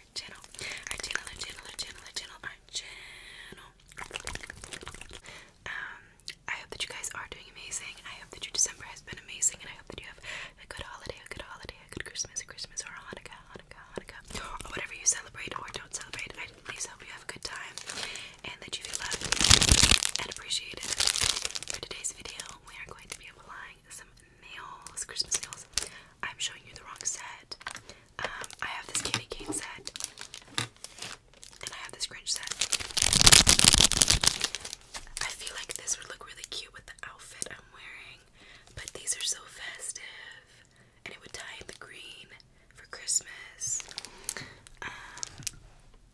our channel, our channel, our channel, our channel, our channel, our channel. Um, I hope that you guys are doing amazing. I hope that your December has been amazing, and I hope that you have a good holiday, a good holiday, a good Christmas, a Christmas, or a Hanukkah, Hanukkah, Hanukkah, or whatever you celebrate or don't celebrate. I at least hope you have a good time and that you feel loved and appreciated. For today's video, we are going to be applying some nails, Christmas nails. I'm showing you the wrong set. Um, I have this candy cane set, and I have this Grinch set. I feel like this would look really cute with the outfit I'm wearing, but these are so festive, and it would tie in the green for Christmas. Um,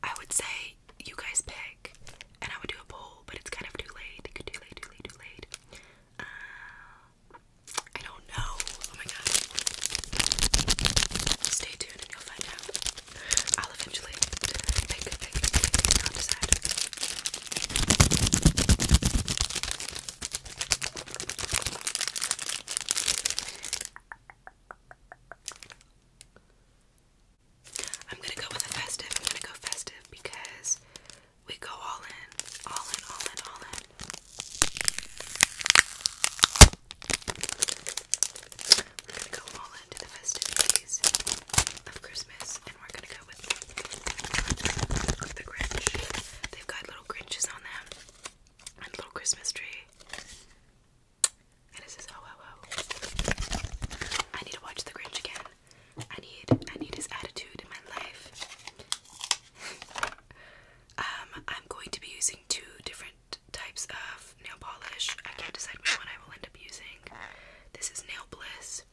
I would say you guys pick, and I would do a poll, but it's kind of too late. Too late, too late, too late. I don't know. Oh my god. Stay tuned you'll find out. I'll eventually pick, pick, pick, i am gonna go with festive. I'm gonna go festive because we go all in, all in, all in, all in. we go all into the festivities of Christmas, and we're gonna go with the Grinch. They've got little Grinches on them, and little Christmas tree. And it says, oh, oh, oh. I need to watch the Grinch again. I need I need his attitude in my life. um, I'm going to be using two different types of nail polish. I can't decide which one I will end up using. This is Nail Bliss.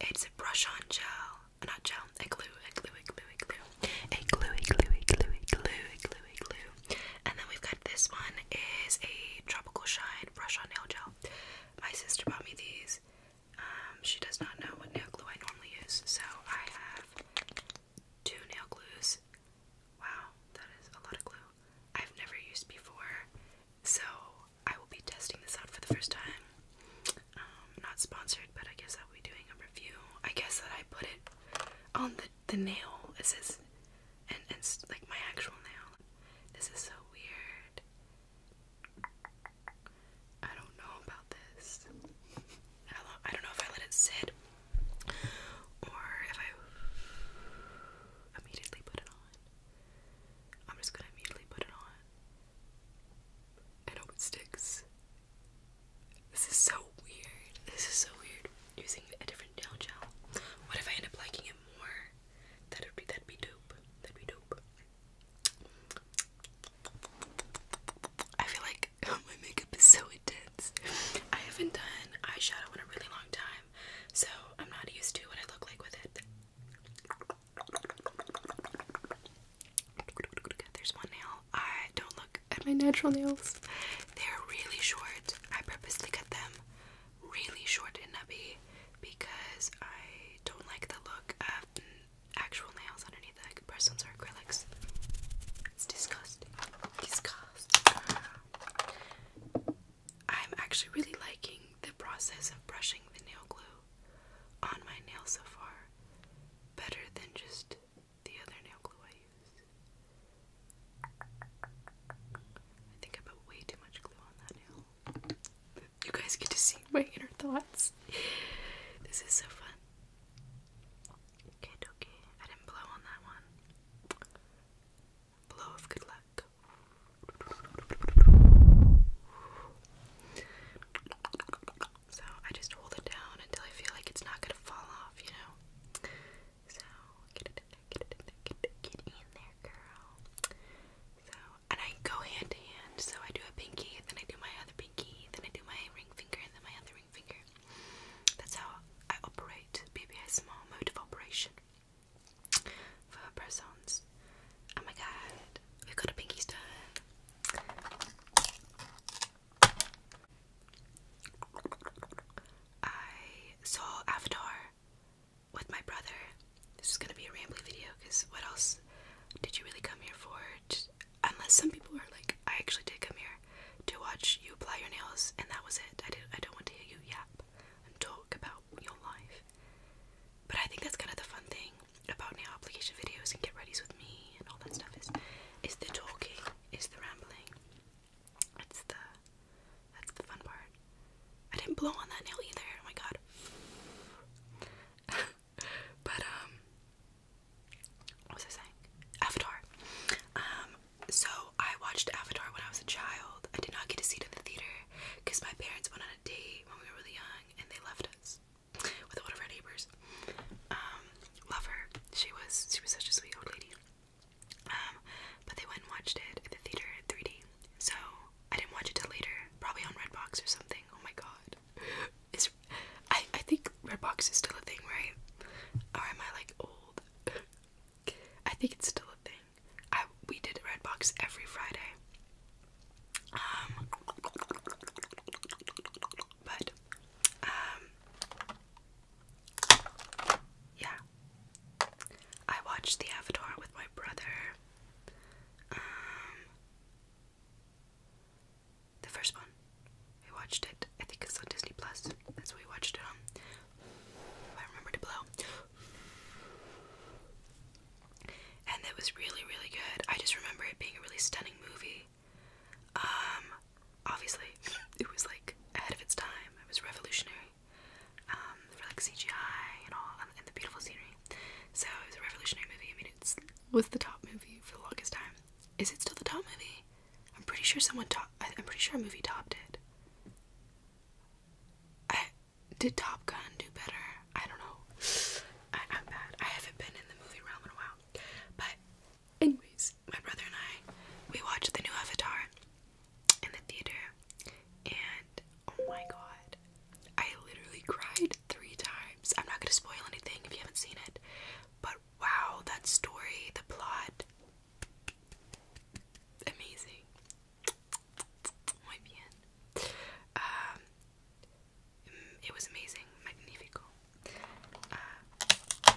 It's a brush-on gel. Not gel, a glue, a glue, a glue, a glue. A glue, a glue, a glue, a glue, a glue, a glue. And then we've got this one is a tropical shine brush-on nail gel. My sister bought me these. Um, she does not know what nail glue I normally use, so I have two nail glues. Wow, that is a lot of glue. I've never used before, so I will be testing this out for the first time. Um, not sponsored, but I guess I'll be doing a review. I guess that I put it on the the nail. It says, and it's like my actual nail. This is so weird. I don't know about this. I don't know if I let it sit or if I immediately put it on. I'm just gonna immediately put it on and hope it sticks. This is so weird. This is so weird using a different nail gel. What if I end up liking it more? That'd be that'd be dope. That'd be dope. I feel like my makeup is so intense. I haven't done eyeshadow in a really long time, so I'm not used to what I look like with it. There's one nail. I don't look at my natural nails. They're really short. I purposely cut them really short and nubby because I don't like the look of actual nails underneath the compressors or acrylics. It's disgusting. Disgusting. I'm actually really liking the process of brushing the nail glue on my nail so far, better than just the other nail glue I used. I think I put way too much glue on that nail. You guys get to see my inner thoughts. This is so fun. Okay, dokie. I didn't blow on that one. Blow of good luck. So I just hold it down until I feel like it's not gonna fall off, you know? So get it in there, get it in there, get it in there, girl. So and I go hand to hand. So I do a pinky, then I do my other pinky, then I do my ring finger, and then my other ring finger. That's how I operate. BBSMR mode of operation for press-ons. Oh my god, we've got a pinky stone. I saw Avatar with my brother. This is gonna be a rambling video because what else did you really come here for? unless some people are like, I actually did come here to watch you apply your nails, and that was it. I did. I don't want to hear you yap and talk about your life. But I think that's kind of the fun thing about nail application videos and get readys with me and all that stuff is, is the talking, is the rambling. That's the, that's the fun part. I didn't blow on that nail either. Oh my god. but um what was I saying? Avatar. Um so I watched Avatar when I was a child. I did not get a seat in the theater because my parents went on a date when we were really young and they left us with one of our neighbors. Um, love her. She was she was such a sweet old lady. Um, but they went and watched it at the theater in 3D. So I didn't watch it till later, probably on Redbox or something. Oh my god, is I I think Redbox is still a thing, right? Or am I like old? I think it's still a thing. I we did Redbox every Friday. Um, but um, yeah, I watched The Avatar with my brother. Um, the first one. We watched it. I think it's on Disney Plus. That's what we watched it on. If I remember to blow. And that was really, really good. I just remember it being a really stunning movie. Um, obviously, it was like ahead of its time. It was revolutionary. Um, for like CGI and all, and the beautiful scenery. So it was a revolutionary movie. I mean, it was the top movie for the longest time. Is it still the top movie? I'm pretty sure someone top. I'm pretty sure a movie topped it. did Top Gun do better? I don't know. I'm bad. I haven't been in the movie realm in a while. But anyways, my brother and I we watched the new Avatar in the theater, and Oh my god. I literally cried three times. I'm not gonna spoil anything if you haven't seen it. But wow, that story, the plot. Amazing. Muy Um, it was amazing. Magnifico. Uh,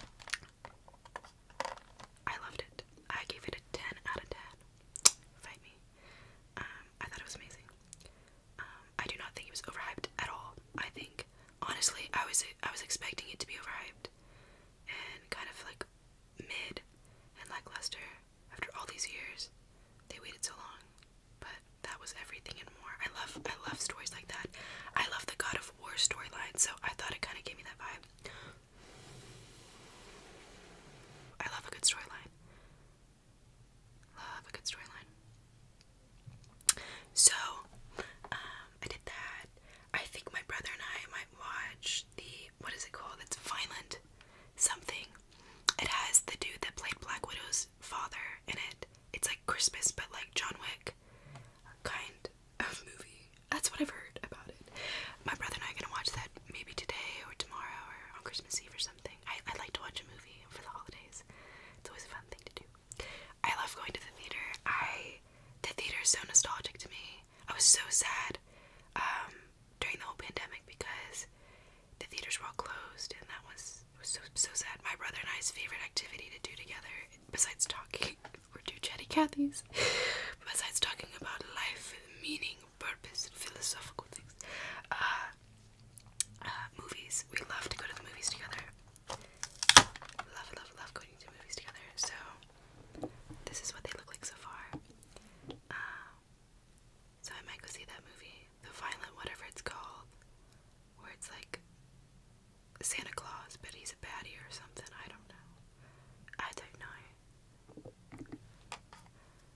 I loved it. I gave it a 10 out of 10. Fight me. Um, I thought it was amazing. Um, I do not think it was overhyped at all. I think honestly, I was I was expecting it to be overhyped and kind of like mid and lackluster after all these years. They waited so long, but that was everything and more. I love I love stories like that. I love the God of War storyline, so I thought it kind of gave me that vibe. I love a good storyline. Love a good storyline. So, um, I did that. I think my brother and I might watch the what is it called? It's Violent Something. It has the dude that played Black Widow's father in it. It's like Christmas, but like John Wick kind of movie. That's what I've heard about it. My brother and I are gonna watch that maybe today or tomorrow or on Christmas Eve or something. I, like to watch a movie for the holidays. It's always a fun thing to do. I love going to the theater. I the theater is so nostalgic to me. I was so sad um, during the whole pandemic because the theaters were all closed, and that was was so so sad. My brother and I's favorite activity to do together, besides talking, or do chatty Cathy's, besides talking about life, meaning, purpose philosophical things. Uh, uh, movies. We love to go to the movies together. Love, love, love going to movies together. So, this is what they look like so far. Uh, so, I might go see that movie. The Violent, whatever it's called. Where it's like Santa Claus, but he's a baddie or something. I don't know. I don't know.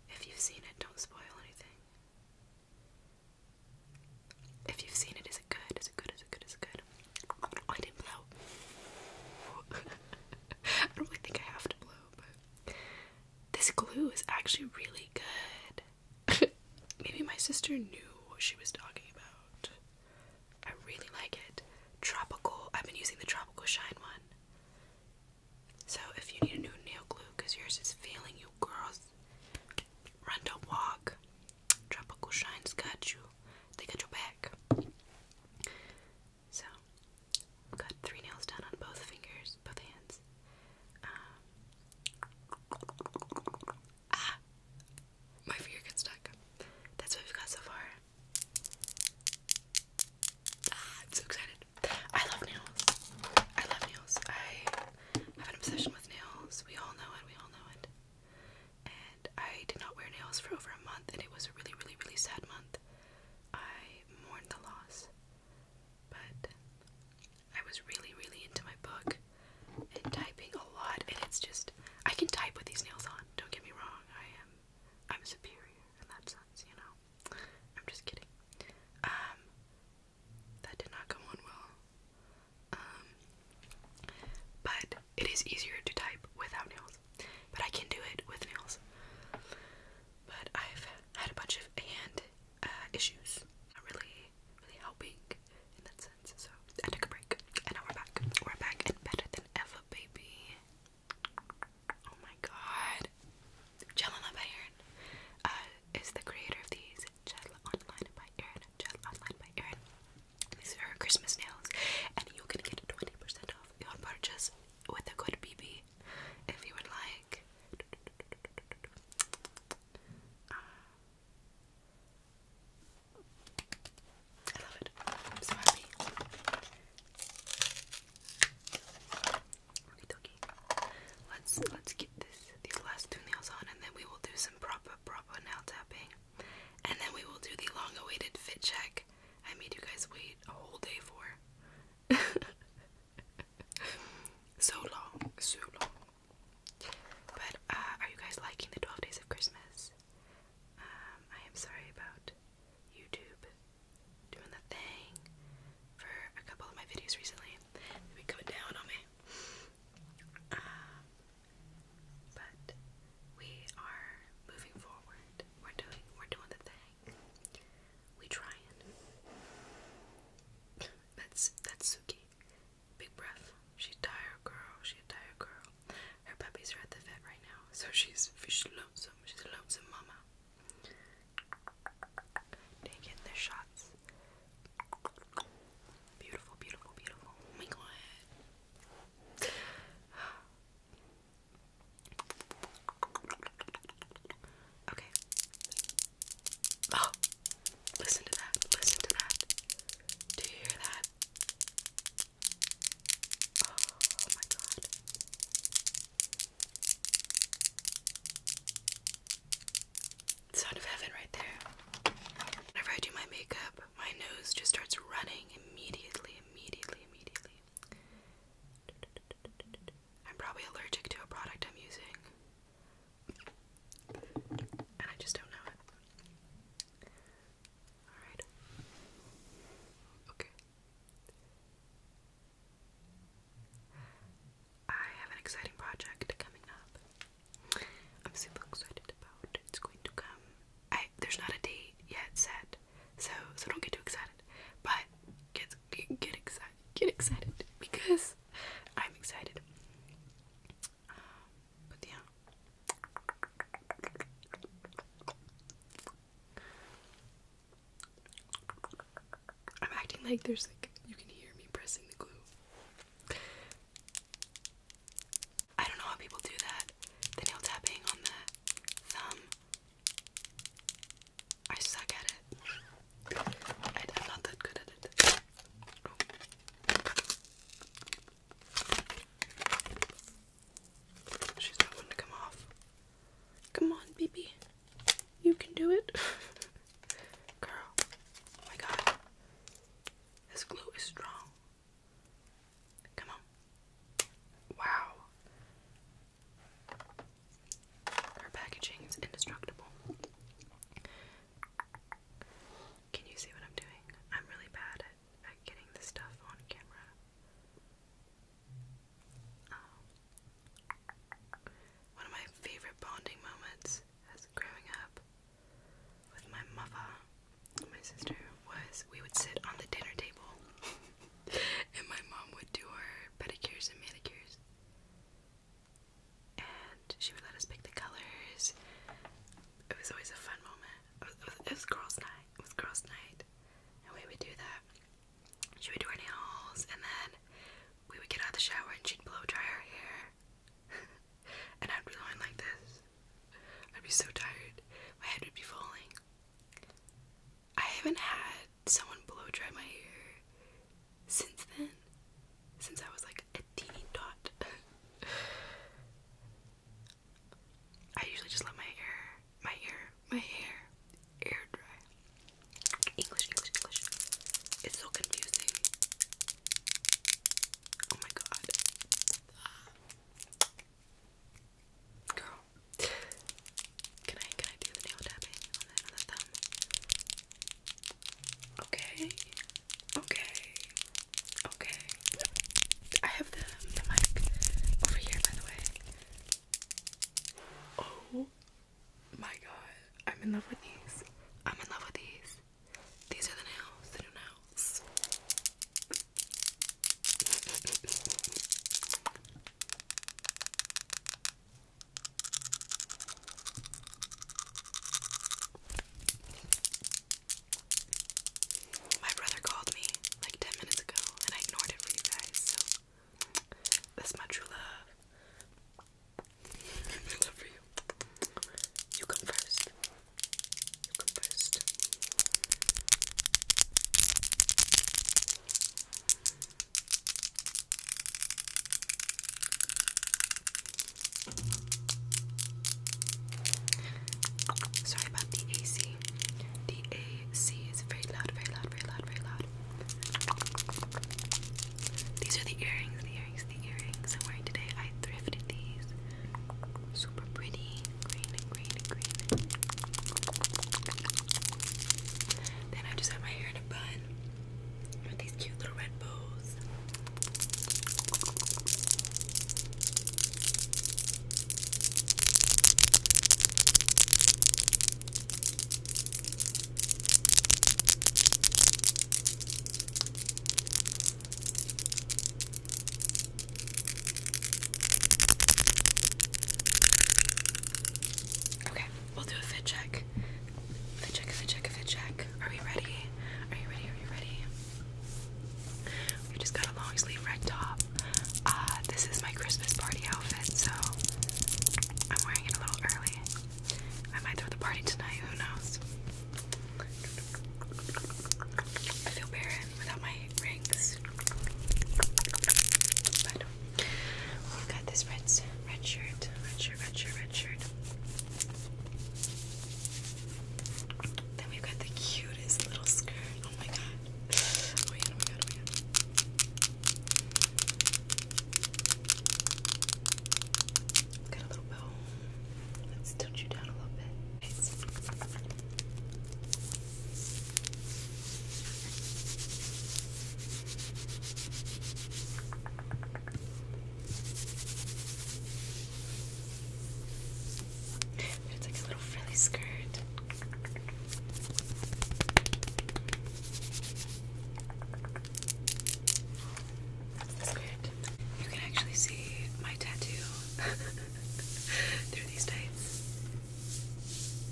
If you've seen it, don't spoil anything. If you've seen it, is it good? Is it good? Is it good? Is it good? I didn't blow. I don't really think I have to blow, but this glue is actually really good. Maybe my sister knew what she was talking about. I really like it. Tropical. I've been using the Tropical Shine one. So if you need a new nail glue because yours is failing you girls, run to walk. Tropical Shine's got you. They got your back. So got three nails done on both fingers, both hands. ah, my finger got stuck. That's what we've got so far. Ah, I'm so excited. I love nails. I love nails. I have an obsession with nails. We all know it. We all know it. And I did not wear nails for over a month, and it was a really, really, really sad month. I mourned the loss. But I was really, really into my book and typing a lot, and it's just I can type with these nails on. Don't get me wrong. I am I'm superior in that sense, you know. I'm just kidding. Um, that did not go on well. Um, but it is easier to type without nails. But I can do it with nails. But I've had a bunch of hand uh, issues. Not really, really helping in that sense. So I took a break, and now we're back. We're back and better than ever, baby. Oh my god. Jelena by uh, is the creator of these. Jelena Online by Erin. Jelena Online by Erin. These are Christmas nails. And you can get 20% off your purchase with the code BB if you would like. I love it. I'm so happy. Okay, Let's let's get this these last two nails on and then we will do some proper proper nail tapping. And then we will do the long awaited fit check. I made you guys wait a whole day for. so long, so long. But uh, are you guys liking the 12 days of Christmas? Um, I am sorry about YouTube doing the thing for a couple of my videos recently. They've down on me. Uh, but we are moving forward. We're doing we're doing the thing. We trying. That's that's Suki. Big breath. She's tired girl. She a tired girl. Her puppies are at the vet right now, so she's she's lonesome. She's a lonesome mama. Taking the shots. Beautiful, beautiful, beautiful. Oh my god. Okay. Oh, listen to that. Listen to that. Do you hear that? Oh, oh my god. Sound of heaven right there. Whenever I do my makeup, my nose just starts running immediately, immediately, immediately. I'm probably allergic to a product I'm using. And I just don't know it. Alright. Okay. I have an exciting project coming up. I'm super excited about. It's going to come. I there's not a date yet set, so so don't get too excited. But get get excited, get excited because I'm excited. Um, but yeah. I'm acting like there's like you can hear me pressing the glue. I don't know how people do that. The nail tapping on the thumb. I suck at it. I, am not that good at it. Oh. She's not one to come off. Come on, baby. You can do it. Girl. Oh my god. This glue is strong. Come on. Wow. Her packaging is indestructible. Can you see what I'm doing? I'm really bad at, at getting this stuff on camera. Oh. One of my favorite bonding moments as growing up with my mother my sister was we would sit on the dinner table and my mom would do her pedicures and manicures. And she would let us pick the colors. It was always a fun moment. it was girls' night. It was girls' night. And we would do that she would do her nails, and then we would get out of the shower and she'd blow dry her hair. and I'd be lying like this. I'd be so tired. My head would be falling. I haven't had someone blow dry my hair since then. Since I was like a teeny dot. I usually just let my hair my hair, my hair, air dry. English, English, English. It's so confusing. Oh my god. Girl. Can I can I do the nail tapping on the thumb? Okay. Okay. Okay. I have the, the mic over here by the way. Oh my god, I'm in love with these. I'm in love with these. These are the nails, the new nails. My brother called me like 10 minutes ago and I ignored it for you guys, so that's my true love. I love for you. You come first. You come first. Sorry about the AC. The is very loud, very loud, very loud, very loud loud. These are the earrings, the earrings, the earrings I'm wearing today. I thrifted these. Super pretty. Green, green, green. Then I just have my hair in a bun with these cute little red bows. Okay, we'll do a fit check. Fit check, fit check, fit check. Are we ready? Are you ready? Are you ready? We just got a long sleeve red top. Uh, this is my Christmas party outfit, so I'm wearing it a little early. I might throw the party tonight, who knows? I feel barren without my rings. But got this red, red shirt, red shirt, red shirt, red shirt. Then we've got the cutest little skirt. Oh my god. Oh my oh my god, oh my god. Got a little bow. Let's tilt you down a little bit. it's like a little frilly skirt. That's You can actually see my tattoo through these tights.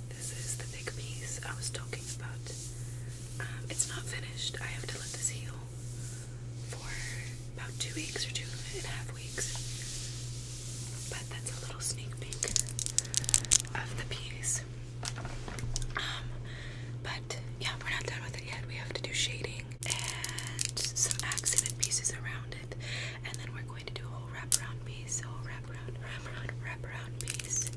This is the thick piece I was talking about. Um, it's not finished. I have to let this heal for about two weeks or two and a half weeks. But that's a little sneak peek of the piece. Um, but yeah, we're not done with it yet. We have to do shading and some accent pieces around it, and then we're going to do a whole wraparound piece, a whole wraparound, wraparound, wraparound piece,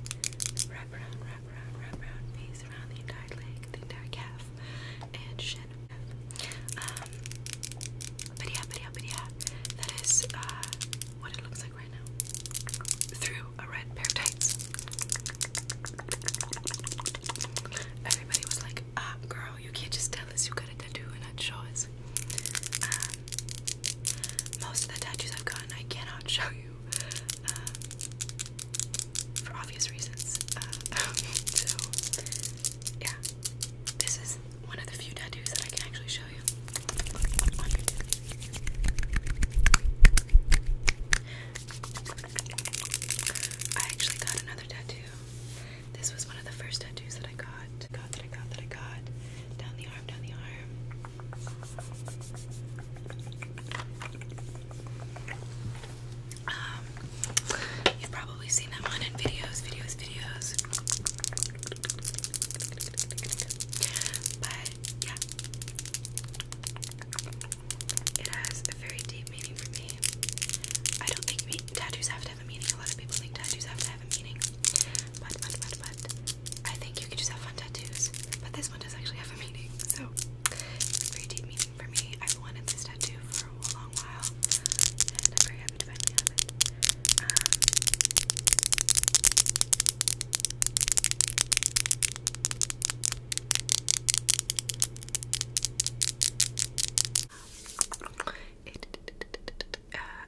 wraparound, wraparound, wraparound piece around the entire leg, the entire calf, and shin. Um, but yeah, but yeah, but yeah, that is uh, what it looks like right through a red pair of tights. Everybody was like, ah, girl, you can't just tell us you have got a tattoo and not show us. Um, most of the tattoos I've gotten, I cannot show you. Um, for obvious reasons. Uh, so, yeah. This is one of the few tattoos that I can actually show I actually got another tattoo. This was one of the first tattoos that I got. that I got that I got. Down the arm, down the arm. Um, you've probably seen that one in videos, videos, videos. But yeah. It has a very deep meaning for me. I don't think tattoos have to have a meaning. A lot of people think tattoos have to have a meaning. But, but, but, but, I think you can just have fun tattoos. But this one does actually have a meaning. So, very deep meaning for me. I've wanted this tattoo for a long while. And I'm very happy to finally have it. Um, uh,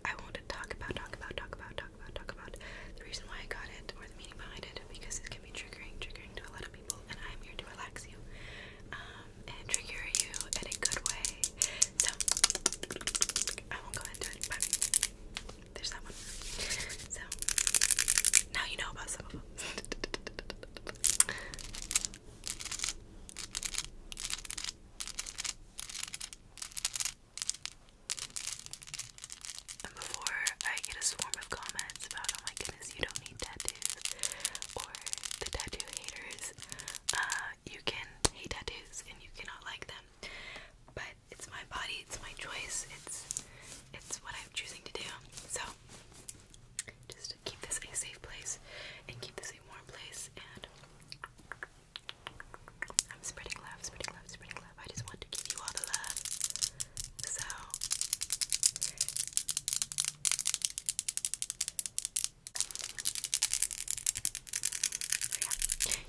I want to talk about, talk about, talk about, talk about, talk about the reason why I got it or the meaning behind it because it can be triggering, triggering to a lot of people, and I'm here to relax you um, and trigger you in a good way. So I won't go into it, there's that one. So now you know about some of them. And before I get a swarm of comments about, oh my goodness, you don't need tattoos, or the tattoo haters, uh, you can hate tattoos and you cannot like them. But it's my body, it's my choice, it's it's what I'm choosing to do. So just keep this a safe place and keep this a warm place and I'm spreading love, spreading love, spreading love. I just want to give you all the love. So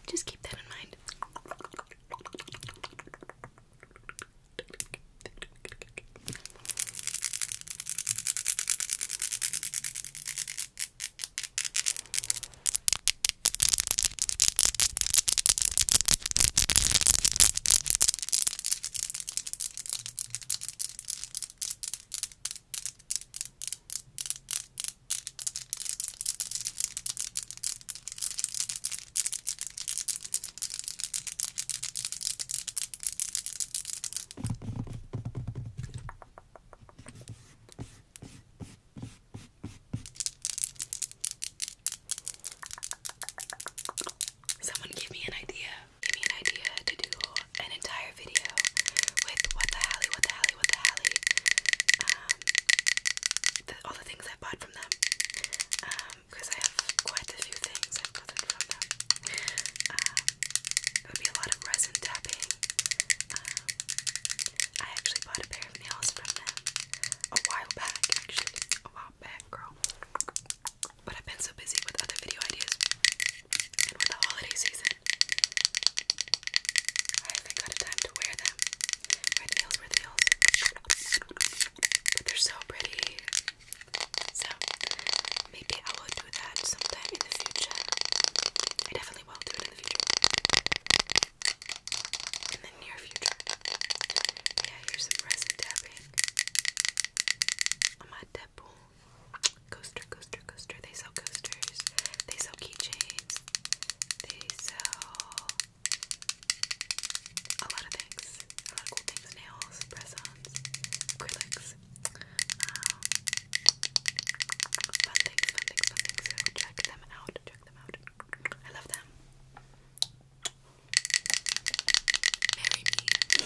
just keep that in mind. Someone give me an idea. Give me an idea to do an entire video with what the hell, what the hell, Halley with the Halley, um, the, all the things I bought from them, um, because I have quite a few things I've gotten from them. Um, it would be a lot of resin tapping. Um, I actually bought a pair of nails from them a while back, actually, a while back, girl. But I've been so busy with other video ideas and with the holiday season, I haven't got a time to wear them. Where nails, where nails. they're so pretty. So maybe I will do that sometime in the future. I definitely will do it in the future. In the near future. Yeah, here's some resin tapping. On my depot. Coaster, coaster, coaster. They sell coasters, they sell keychains, they sell a lot of things, a lot of cool things, nails, press acrylics, um, fun things, fun things, fun things, check them out, check them out, I love them. Marry me.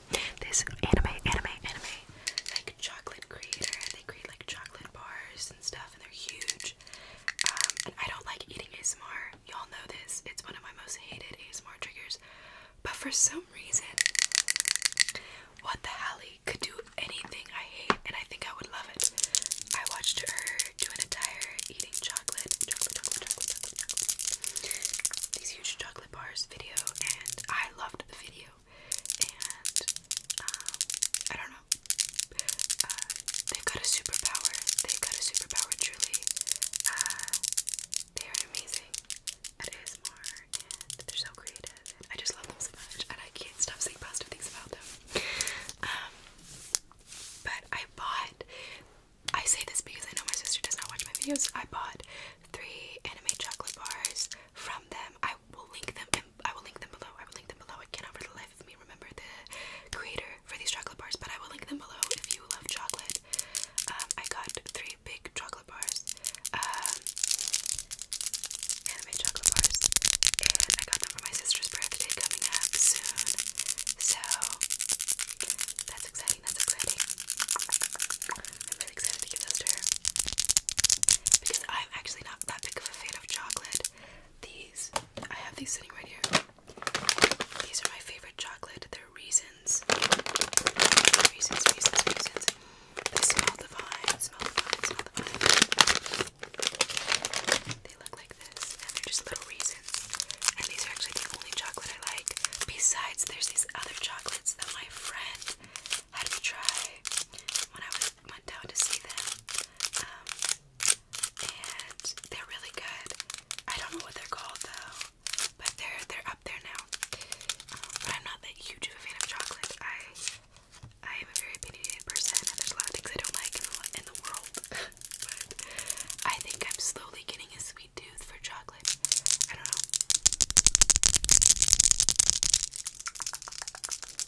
this anime, anime, anime, like chocolate creator. They create like chocolate bars and stuff, and they're huge. Um, and I don't like eating ASMR. Y'all know this. It's one of my most hated ASMR triggers. But for some reason, what the Hallie could do anything I hate, and I think I would love it. I watched her do an entire eating chocolate, chocolate, chocolate, chocolate these huge chocolate bars video, and I loved the video and um, I don't know. Uh, they've got a superpower. They've got a superpower, truly. Uh, they are amazing at ASMR, and they're so creative. I just love them so much, and I can't stop saying positive things about them. Um, but I bought. I say this because I know my sister does not watch my videos. I bought three anime chocolate bars from them. I will link them. In, I will link them below. I will link them below. I cannot for the life of me remember the creator for these chocolate bars, but I will link them below if you love chocolate. Um, I got three big chocolate bars, um, anime chocolate bars, and I got them for my sister's birthday coming up soon. So that's exciting. That's exciting. I'm excited to give those to her because I'm actually not that big of a fan of chocolate. These, I have these sitting right here. These are my favorite chocolate. They're reasons. Reasons. Reasons. Reasons. They smell divine, smell divine, smell divine. They look like this, and they're just little reasons. And these are actually the only chocolate I like. Besides, there's these other chocolates that my friend had to try when I went down to see them. Um, and they're really good. I don't know what they're called though, but they're they're up there now. Um, but I'm not that huge a fan of chocolate. I I am a very opinionated person, there's a lot of things I don't like in the, in the world. but I think I'm slowly getting a sweet tooth for chocolate. I know.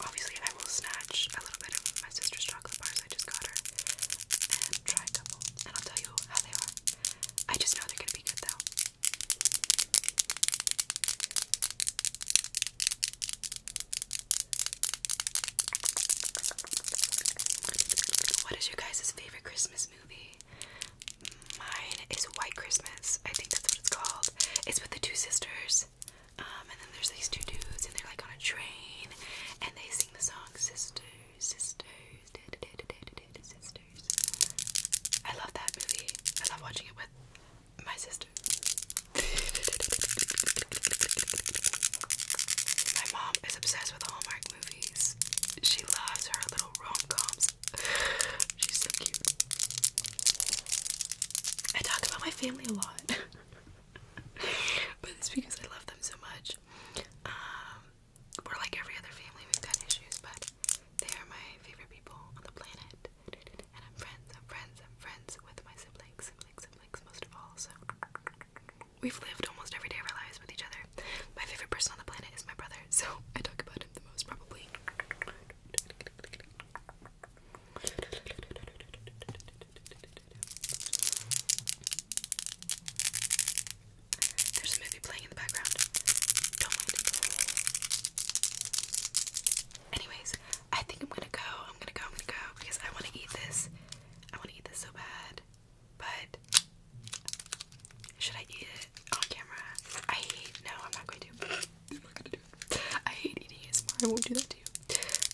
Obviously, I will snatch a little bit of my sister's chocolate bars I just got her and try a couple, and I'll tell you how they are. I just know they're gonna be good though. What is your guys' favorite Christmas movie? Mine is White Christmas. I think that's what it's called. It's with the two sisters. Um, and then there's these two dudes, and they're like on a train, and they sing the song Sisters, Sisters, da da Sisters. I love that movie. I love watching it with my sister. my mom is obsessed with Hallmark movies. She loves her little rom She's so cute. I talk about my family a lot. but it's because I love them so much. Um, we're like every other family, we've got issues, but they are my favorite people on the planet. And I'm friends, I'm friends, I'm friends with my siblings, siblings, siblings, most of all. So we've lived almost every day of our lives with each other. My favorite person on the planet is my brother, so I talk about him the most probably. There's a movie playing in the background. Don't mind. Anyways, I think I'm gonna go. I'm gonna go. I'm gonna go because I want to eat this. I want to eat this so bad. But should I eat it on camera? I hate. No, I'm not going to. i hate eating ASMR. I won't do that to you.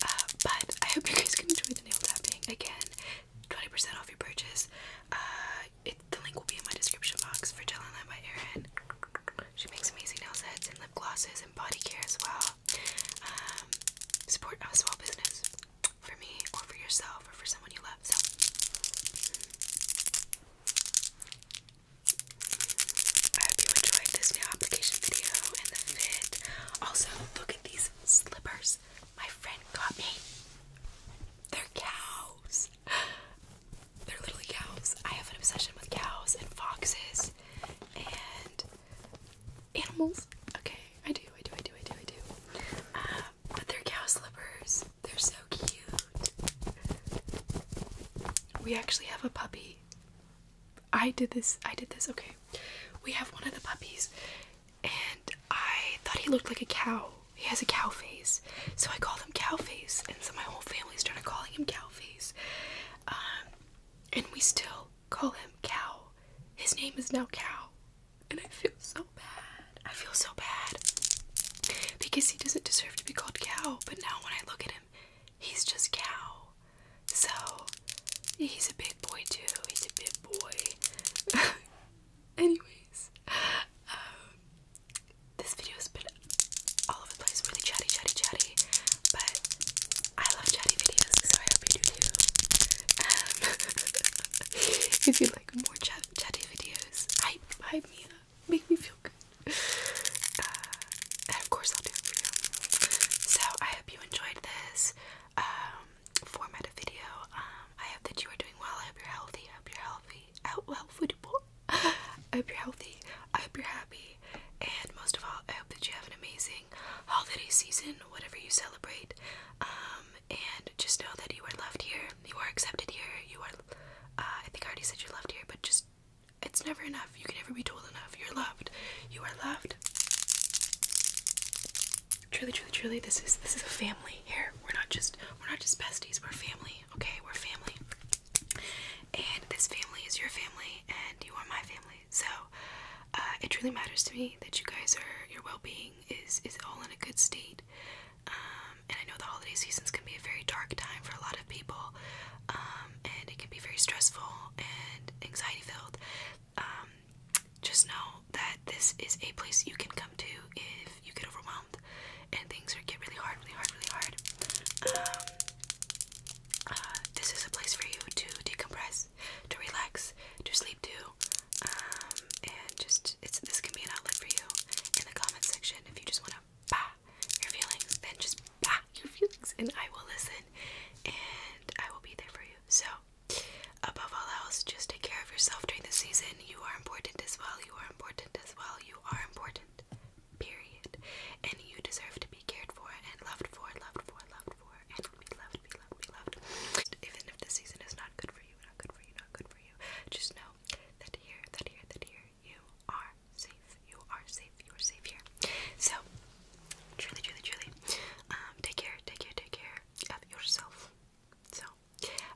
Uh, but I hope you guys can the nail tapping. Again, 20% off your purchase. Uh, the link will be in my description box for Gel and by Erin. She makes amazing nail sets and lip glosses and body care as well. Um, support a small business for me or for yourself or for someone you love. So. I hope you enjoyed this nail application video and the fit. Also, look at these slippers my friend got me. They're cows. They're literally cows. I have an obsession with cows and foxes and animals. Okay, I do, I do, I do, I do, I do. Um, but they're cow slippers. They're so cute. We actually have a puppy. I did this. I did this. Okay. We have one of the puppies and I thought he looked like a cow. He has a cow face. So I called him cow face and so my whole family started calling him cow face. Um, and we still call him cow. His name is now cow. And I feel so bad. I feel so bad because he doesn't deserve to be called cow. But now when I look at him, he's just cow. So he's a big boy too. He's a big boy. Anyways, um, this video has been all over the place, really chatty, chatty, chatty. But I love chatty videos, so I hope you do too. Um, if you like more chatty videos, I hype me up make me feel good. and uh, of course, I'll do it for you. So, I hope you enjoyed this um, format of video. Um, I hope that you are doing well. I hope you're healthy. I hope you're healthy. Out well, foodable. I hope you're healthy. I hope you're happy. And most of all, I hope that you have an amazing holiday season, whatever you celebrate. Um, and just know that you are loved here you are accepted here, you are, uh, I think I already said you're loved here, but just, it's never enough. You can never be told enough. You're loved. You are loved. Truly, truly, truly, this is, this is a family here. We're not just, we're not just besties, we're family, okay? We're family. And this family is your family, and you are my family. So, uh, it truly matters to me that you guys are, your well-being is, is all in a good state. Um, and I know the holiday seasons can be a very dark time for a lot of people, um, and it can be very stressful and anxiety filled. Um, just know that this is a place you can come to if you get overwhelmed and things are, get really hard, really hard, really hard. Um, uh, this is a place for you to decompress, to relax, to sleep to, um, and just it's this can be an outlet for you in the comments section if you just want to bah, your feelings, then just bah your feelings, and I will listen and I will be there for you. So, above all else, just take care of yourself during the season. You are important as well. You are important as well. You are important, period. And you deserve to be cared for and loved for, loved for, loved for, and be loved, be loved, be loved. Even if the season is not good for you, not good for you, not good for you, just know that here, that here, that here, you are safe. You are safe. You are safe here. So, truly, truly, truly, um, take care, take care, take care of yourself. So,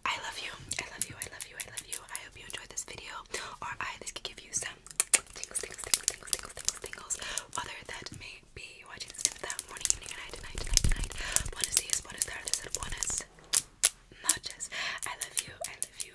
I love you. I love you. I love you. I love you. I hope you enjoyed this video, or I this could give you some tingles, tingles, tingles, tingles, tingles, tingles, tingles. Whether that may be watching this video that morning, evening, night, night, night, night. Buenos dias, buenas tardes, buenas noches. I love you. I love you